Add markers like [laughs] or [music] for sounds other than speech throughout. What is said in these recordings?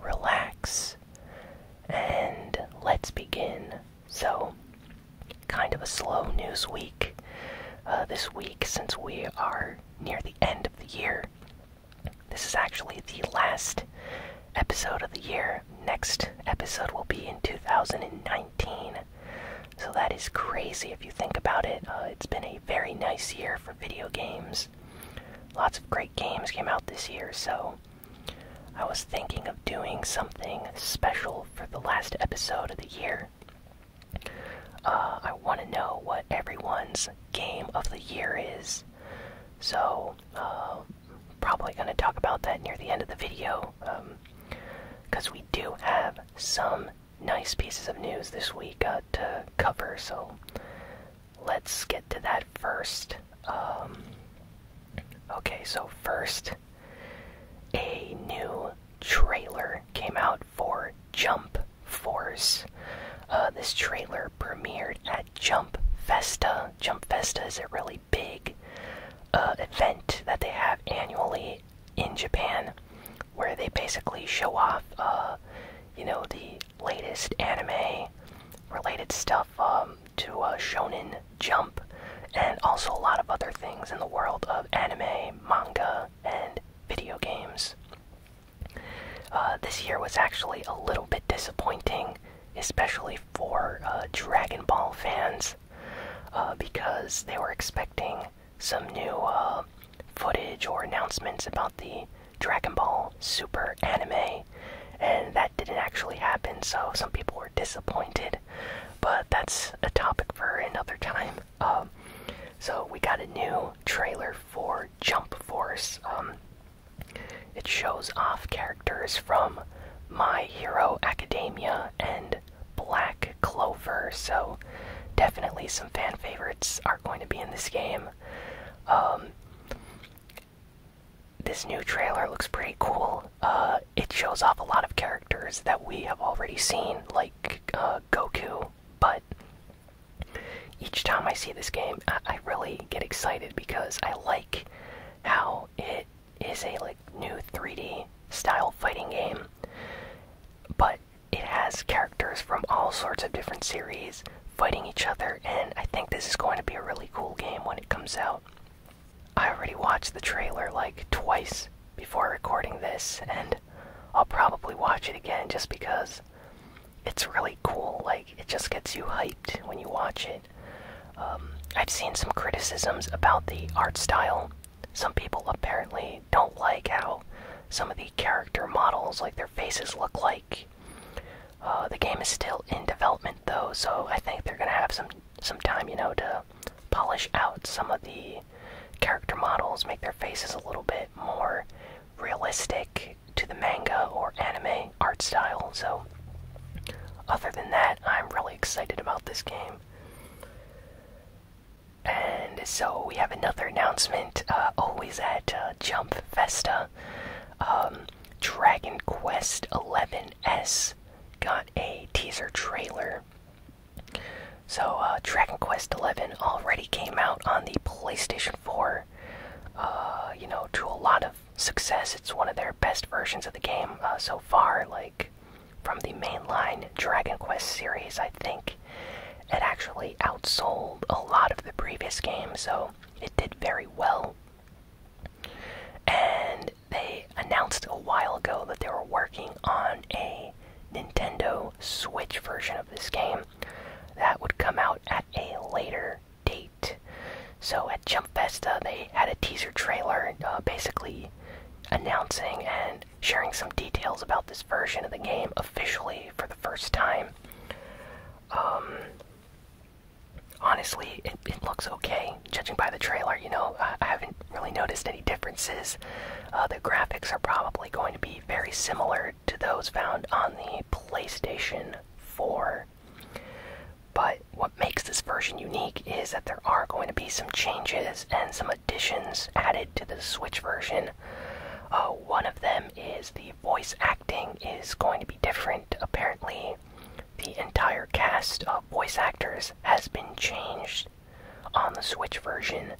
relax, and let's begin. So, kind of a slow news week uh, this week since we are near the end of the year. This is actually the last episode of the year. Next episode will be in 2019. So that is crazy if you think about it. Uh, it's been a very nice year for video games. Lots of great games came out this year, so I was thinking of doing something special for the last episode of the year. Uh, I want to know what everyone's game of the year is. So, uh, probably going to talk about that near the end of the video. Because um, we do have some nice pieces of news this week uh, to cover. So, let's get to that first. Um, okay, so first, a new trailer came out for Jump Force. Uh, this trailer premiered at Jump Festa. Jump Festa is a really big uh, event that they have annually in Japan where they basically show off, uh, you know, the latest anime related stuff. Um, to uh, Shonen Jump, and also a lot of other things in the world of anime, manga, and video games. Uh, this year was actually a little bit disappointing, especially for uh, Dragon Ball fans, uh, because they were expecting some new footage or announcements about the Dragon Ball Super anime, and that didn't actually happen, so some people were disappointed. But that's a topic for another time. Um, so we got a new trailer for Jump Force. Um, it shows off characters from My Hero Academia and Black Clover, so definitely some fan favorites are going to be in this game. Um, this new trailer looks pretty cool. Uh, it shows off a lot of characters that we have already seen, like uh, Goku, but each time I see this game, I, really get excited because I like how it is a new 3D style fighting game, but it has characters from all sorts of different series, fighting each other, and I think this is going to be a really cool game when it comes out. I already watched the trailer like twice before recording this, and I'll probably watch it again just because it's really cool. Like, it just gets you hyped when you watch it. Um, I've seen some criticisms about the art style. Some people apparently don't like how some of the character models, like their faces, look like. Uh, the game is still in development though, so I think they're gonna have some some time, you know, to polish out some of the character models, make their faces a little bit more realistic to the manga or anime art style. So, other than that, I'm really excited about this game. And so we have another announcement, uh, always at uh, Jump Festa. Um, Dragon Quest XI S got a teaser trailer. So uh, Dragon Quest XI already came out on the PlayStation Four. Uh, you know, to a lot of success, it's one of their best versions of the game uh, so far. Like from the mainline Dragon Quest series, I think it actually outsold a lot of the previous games. So it did very well. And they announced a while ago that they were working on a Nintendo Switch version of this game that would come out at a later date. So at Jump Festa, they had a teaser trailer uh, basically announcing and sharing some details about this version of the game officially for the first time. Um, honestly, it, looks okay. Judging by the trailer, you know, I, haven't really noticed any differences. Uh, the graphics are probably going to be very similar to those found on the PlayStation 4. But what makes this version unique is that there are going to be some changes and some additions added to the Switch version Oh, one of them is the voice acting is going to be different. Apparently, the entire cast of voice actors has been changed on the Switch version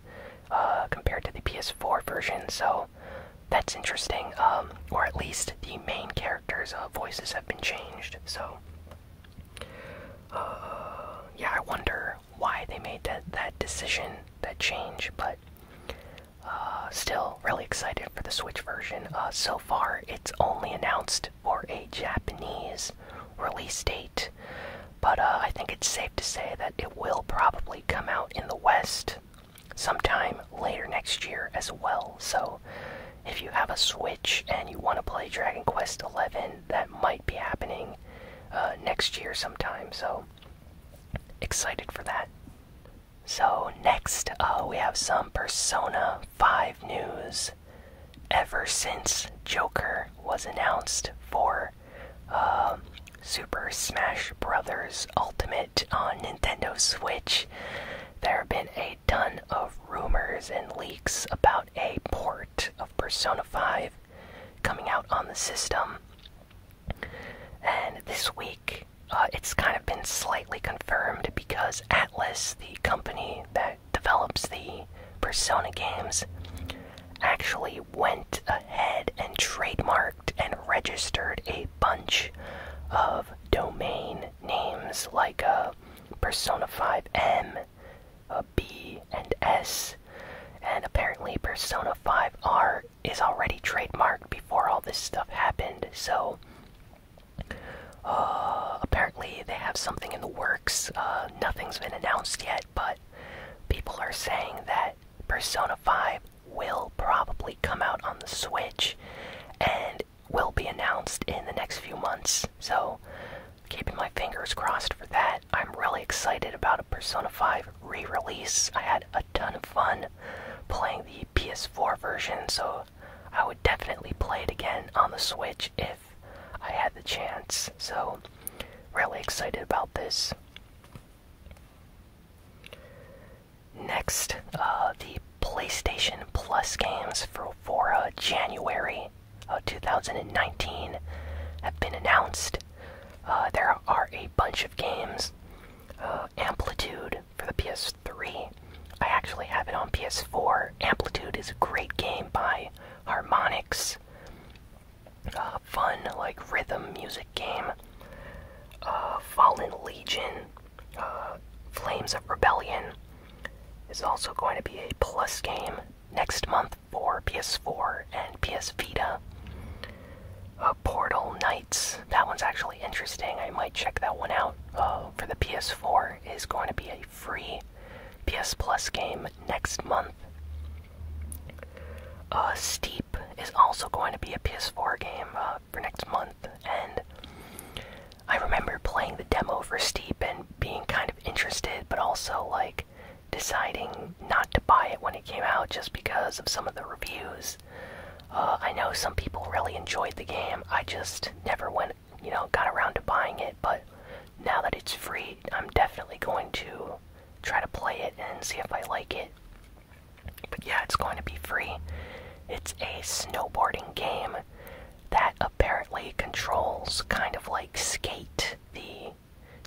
uh, compared to the PS4 version, so that's interesting. Um, or at least the main characters' uh, voices have been changed, so. Uh, yeah, I wonder why they made that decision, that change, but uh, still really excited for the Switch version. Uh, so far, it's only announced for a Japanese release date, but uh, I think it's safe to say that it will probably come out in the West sometime later next year as well. So, if you have a Switch and you want to play Dragon Quest XI, that might be happening next year sometime. So, excited for that. So, next, uh, we have some Persona 5 news. Ever since Joker was announced for um, Super Smash Bros. Ultimate on Nintendo Switch, there have been a ton of rumors and leaks about a port of Persona 5 coming out on the system. And this week, uh, it's kind of been slightly confirmed because Atlas, the company that develops the Persona games, actually went ahead and trademarked and registered a bunch of domain names like uh, Persona 5M, uh, and S. And apparently, Persona 5R is already trademarked before all this stuff happened, so uh, apparently they have something in the works. Uh, nothing's been announced yet, but people are saying that Persona 5 will probably come out on the Switch and will be announced in the next few months. So, keeping my fingers crossed for that. I'm really excited about a Persona 5 re release. I had a ton of fun playing the PS4 version, so I would definitely play it again on the Switch if I had the chance. So, really excited about this. Next, uh, the PlayStation Plus games for, for uh, January of 2019 have been announced. Uh, there are a bunch of games. Uh, Amplitude for the PS3. I actually have it on PS4. Amplitude is a great game by Harmonix. Uh, fun, like rhythm music game. Fallen Legion, Flames of Rebellion is also going to be a plus game next month for PS4 and PS Vita. Uh, Portal Knights, that one's actually interesting. I might check that one out. Uh, for the PS4 is going to be a free PS Plus game next month. Uh, Steep is also going to be a PS4 game uh, for next month, and I remember playing the demo for Steep and being kind of interested, but also like deciding not to buy it when it came out just because of some of the reviews. Uh, I know some people really enjoyed the game. I just never went, you know, got around to buying it. But now that it's free, I'm definitely going to try to play it and see if I like it. But yeah, it's going to be free. It's a snowboarding game that apparently controls kind of like skate, the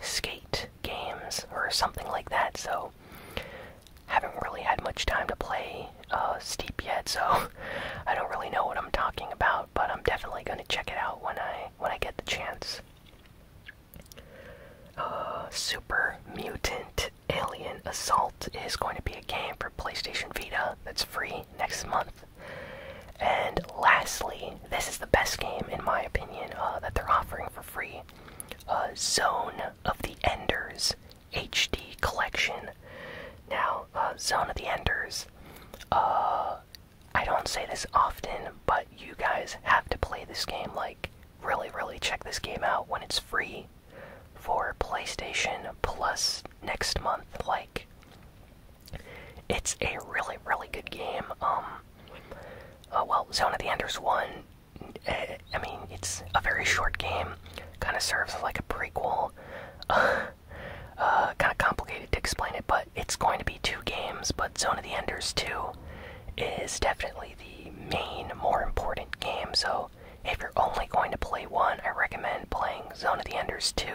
skate games or something like that, so haven't really had much time to play uh, Steep yet, so [laughs] I don't really know what I'm talking about, but I'm definitely gonna check it out when I when I get the chance. Uh, Super Mutant Alien Assault is going to be a game for PlayStation Vita that's free next month. And lastly, this is the best game, in my opinion, uh, that they're offering for free. Uh, Zone of the Enders HD Collection. Now, uh, Zone of the Enders. Uh, I don't say this often, but you guys have to play this game. Like, really, really check this game out when it's free for PlayStation Plus next month. Like, it's a really, really good game. Um, uh, well, Zone of the Enders 1, uh, I mean, it's a very short game, kind of serves like a prequel. [laughs] Uh, kind of complicated to explain it, but it's going to be two games, but Zone of the Enders 2 is definitely the main, more important game, so if you're only going to play one, I recommend playing Zone of the Enders 2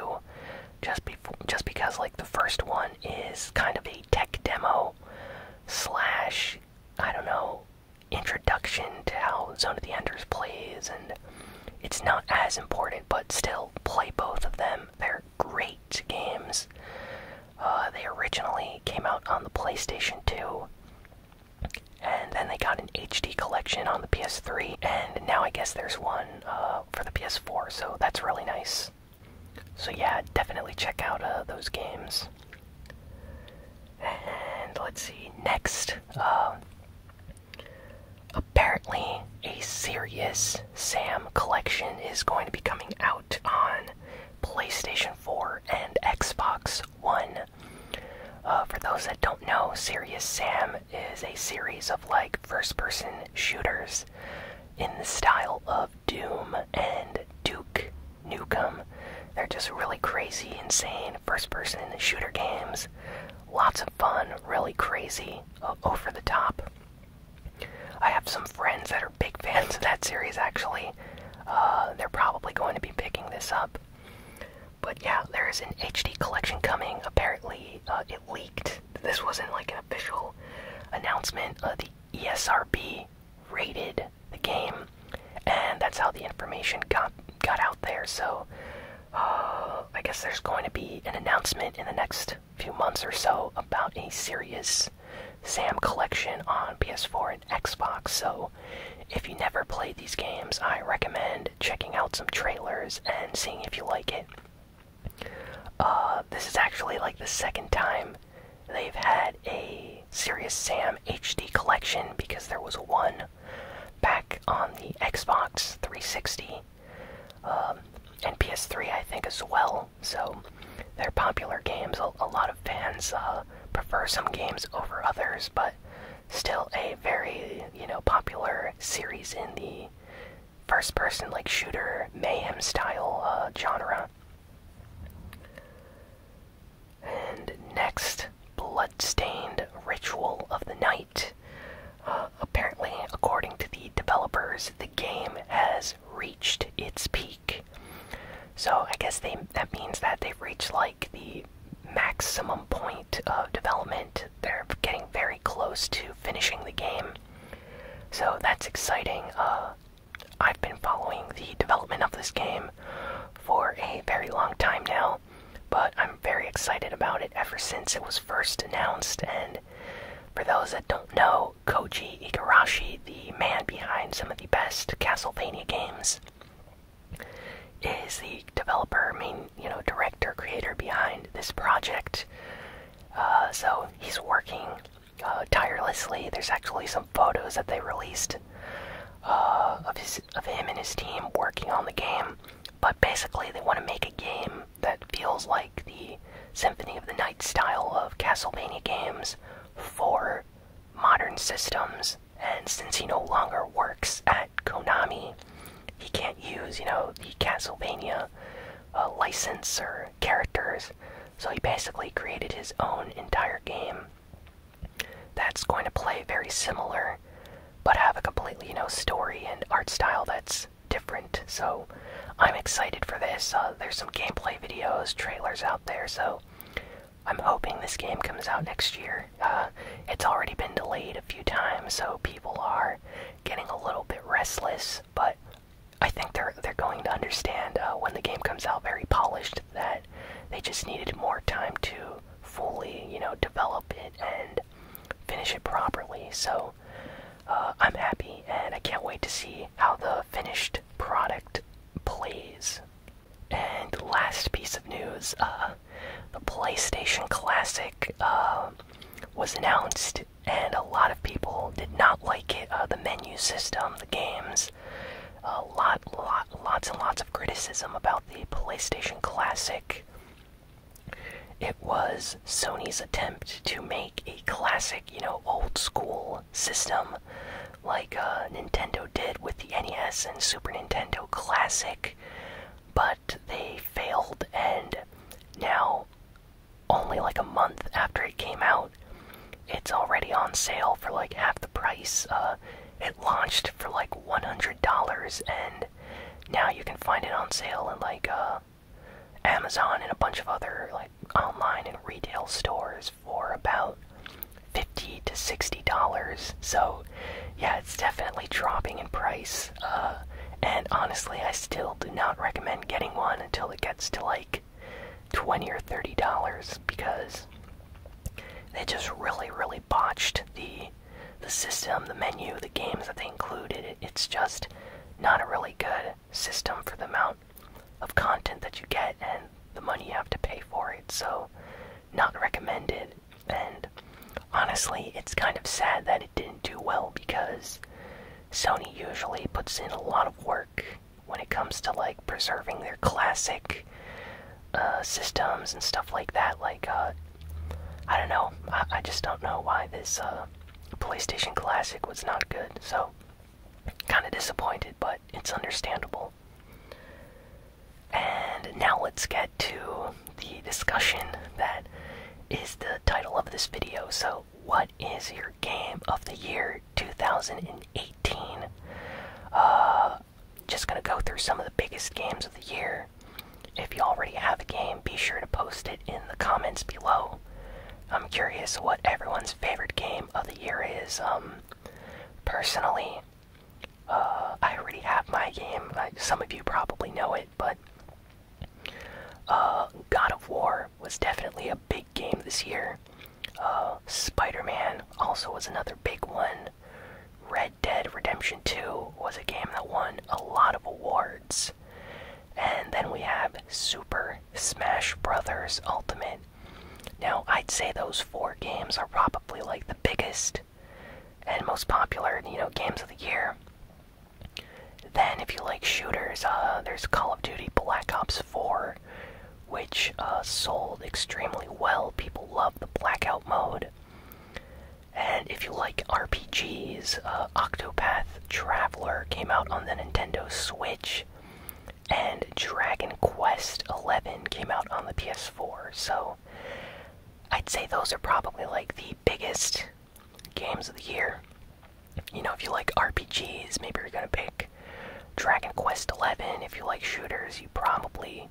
just just because like the first one is kind of a tech demo slash I don't know introduction to how Zone of the Enders plays and it's not as important but still play both of them. They're great games. Uh, they originally came out on the PlayStation 2 and then they got an HD collection on the PS3 and now I guess there's one uh, for the PS4 so that's really nice. So yeah, definitely check out uh, those games. And let's see next. Um, apparently, a Serious Sam collection is going to be coming out on PlayStation 4 and Xbox One. Uh, for those that don't know, Serious Sam is a series of like first person shooters in the style of Doom and Duke Nukem. They're just really crazy, insane first person shooter games. Lots of fun, really crazy, over the top. I have some friends that are big fans of that series actually. Uh, they're probably going to be picking this up. But yeah, there is an HD collection coming. Apparently, uh, it leaked. This wasn't like official announcement of the ESRB rated the game, and that's how the information got got out there. So uh, I guess there's going to be an announcement in the next few months or so about a serious Sam collection on PS4 and Xbox. So if you never played these games, I recommend checking out some trailers and seeing if you like it. Uh, this is actually like the second time they've had a Serious Sam HD collection because there was one back on the Xbox 360 um, and PS3, I think, as well. So they're popular games. A, lot of fans uh, prefer some games over others, but still a very you know popular series in the first person like shooter mayhem style uh, genre. And next, Bloodstained Ritual of the Night. Uh, apparently, according to the developers, the game has reached its peak. So I guess they that means that they've reached like the maximum point of development they're getting very close to finishing the game. So that's exciting. Uh, I've been following the development of this game for a very long time now, but I'm very excited about it ever since it was first announced. And for those that don't know, Koichi Igarashi, the man behind some of the best Castlevania games, is the developer, main, you know, director, creator behind this project. Uh, so he's working uh, tirelessly. There's actually some photos that they released uh, of his of him and his team working on the game. But basically, they want to make a game that feels like the Symphony of the Night style of Castlevania games for modern systems. And since he no longer works at Konami, he can't use you know the Castlevania uh, license or characters. So he basically created his own entire game that's going to play very similar, but have a completely you know story and art style that's different. So I'm excited for this. Uh, there's some gameplay videos, trailers out there. So I'm hoping this game comes out next year. Uh, it's already been delayed a few times, so people are getting a little bit restless, but I think they're they're going to understand uh, when the game comes out very polished that they just needed more time to fully, you know, develop it and finish it properly. So uh, I'm happy, and I can't wait to see how the finished product plays. And last piece of news: uh, the PlayStation Classic um, was announced, and a lot of people did not like it. Uh, the menu system, the games, a lot, lot, lots and lots of criticism about the PlayStation Classic. It was Sony's attempt to make a classic, you know, old school system like uh, Nintendo did with the NES and Super Nintendo Classic, but they failed, and now, only like a month after it came out, it's already on sale for like half the price. Uh, it launched for like $100, and now you can find it on sale in like uh, Amazon and a bunch of other like online and retail stores for about 50 to $60. So, yeah, it's definitely dropping in price. Uh, and honestly, I still do not recommend getting one until it gets to like twenty or thirty dollars because they just really, really botched the the system, the menu, the games that they included. it's just not a really good system for the amount of content that you get and the money you have to pay for it. So, not recommended. And honestly, it's kind of sad that it didn't do well because Sony usually puts in a lot of work when it comes to like preserving their classic uh, systems and stuff like that. Like, uh, I don't know, I, just don't know why this uh, PlayStation Classic was not good. So, kind of disappointed, but it's understandable. And now let's get to the discussion that is the title of this video. So, what is your game of the year 2018? Uh, just gonna go through some of the biggest games of the year. If you already have a game, be sure to post it in the comments below. I'm curious what everyone's favorite game of the year is. Um, personally, uh, I already have my game. I, some of you probably know it but uh, God of War was definitely a big game this year. Uh, Spider-Man also was another big one. Red Dead Redemption 2 was a game that won a lot of awards. And then we have Super Smash Brothers Ultimate. Now, I'd say those four games are probably like the biggest and most popular, you know, games of the year. Then, if you like shooters, uh, there's Call of Duty Black Ops 4, which uh, sold extremely well. People love the blackout mode. And if you like RPGs, uh, Octopath Traveler came out on the Nintendo Switch, and Dragon Quest XI came out on the PS4. So, I'd say those are probably like the biggest games of the year. You know, if you like RPGs, maybe you're gonna pick Dragon Quest XI. If you like shooters, you probably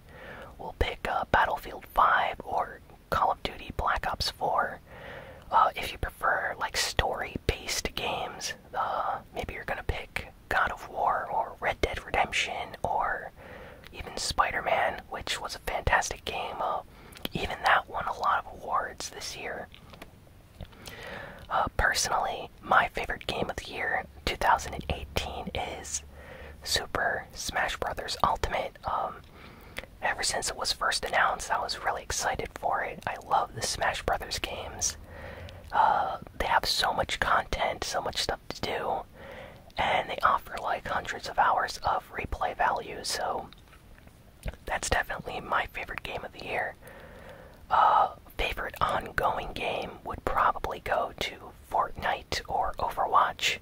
will pick uh, Battlefield 5 or Call of Duty Black Ops 4. Uh, if you prefer like story-based games, uh, maybe you're gonna pick God of War or Red Dead Redemption or even Spider-Man, which was a fantastic game. Uh, even that won a lot of awards this year. Uh, personally, my favorite game of the year, 2018, is Super Smash Bros. Ultimate. Um, ever since it was first announced, I was really excited for it. I love the Smash Brothers games. Uh, they have so much content, so much stuff to do, and they offer like hundreds of hours of replay value, so that's definitely my favorite game of the year. A uh, favorite ongoing game would probably go to Fortnite or Overwatch.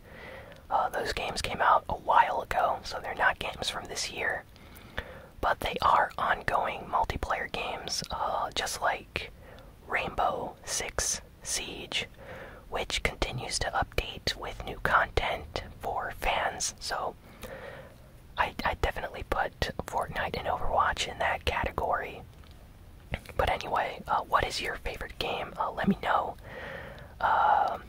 Uh, those games came out a while ago, so they're not games from this year. But they are ongoing multiplayer games, uh, just like Rainbow Six Siege, which continues to update with new content for fans. So, I, I definitely put Fortnite and Overwatch in that category. But anyway, uh, what is your favorite game? Uh, let me know. Um,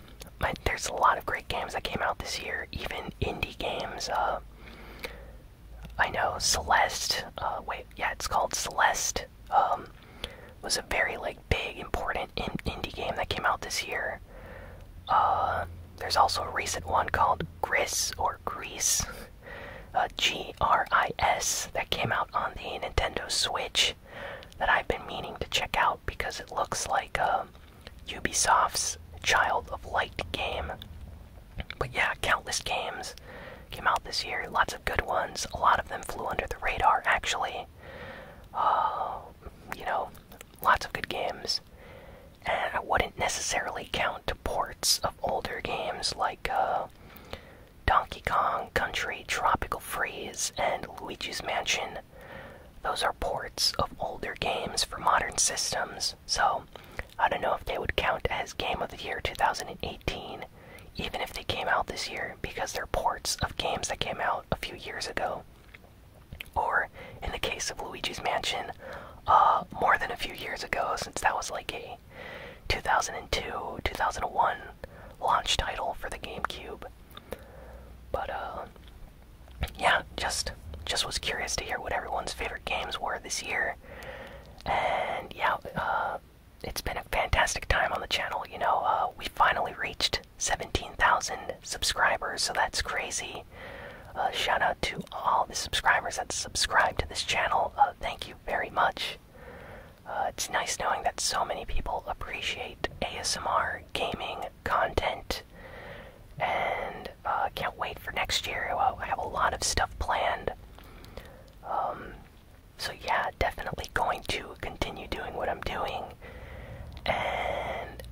there's a lot of great games that came out this year, even indie games. Uh, I know Celeste. wait, yeah, it's called Celeste. Heat um, was a very like big important indie game that came out this year. Uh, there's also a recent one called Gris or Grease, uh, G R I S, that came out on the Nintendo Switch that I've been meaning to check out because it looks like a um, Ubisoft's Child of Light game. But yeah, countless games came out this year. Lots of good ones. A lot of them flew under the radar, actually. Uh, you know, lots of good games. I wouldn't necessarily count ports of older games like uh, Donkey Kong Country, Tropical Freeze, and Luigi's Mansion. Those are ports of older games for modern systems, so I don't know if they would count as Game of the Year 2018 even if they came out this year, because they're ports of games that came out a few years ago. Or, in the case of Luigi's Mansion, uh, more than a few years ago, since that was like a 2002 2001 launch title for the GameCube. But, uh, yeah, just just was curious to hear what everyone's favorite games were this year. And yeah, uh, it's been a fantastic time on the channel. You know, uh, we finally reached 17,000 subscribers, so that's crazy. Uh, shout out to all the subscribers that subscribe to this channel. Uh, thank you very much. Uh, it's nice knowing that so many people appreciate ASMR gaming content. And uh, can't wait for next year. I have a lot of stuff planned. Um, so, yeah, definitely going to continue doing what I'm doing. And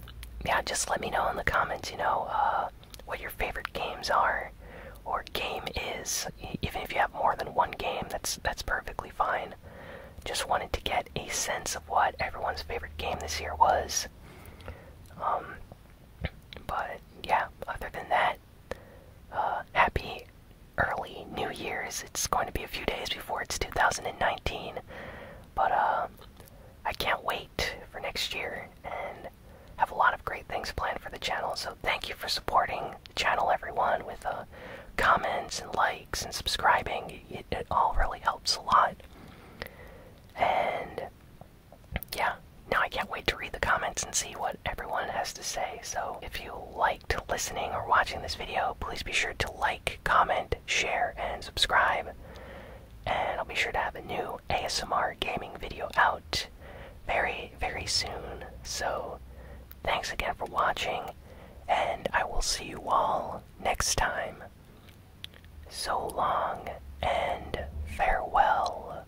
yeah, just let me know in the comments, you know, uh, what your favorite games are or game is. Even if you have more than one game, that's that's perfectly fine. Just wanted to get a sense of what everyone's favorite game this year was. Um, but yeah, other than that, uh, happy early New Year's. It's going to be a few days before it's 2019, but uh, I can't wait for next year and have a lot of great things planned for the channel. So thank you for supporting the channel, everyone, with uh, comments and likes and subscribing. it all really helps a lot. And yeah, now, I can't wait to read the comments and see what everyone has to say. So, if you liked listening or watching this video, please be sure to like, comment, share, and subscribe. And I'll be sure to have a new ASMR gaming video out very, very soon. So, thanks again for watching, and I will see you all next time. So long and farewell.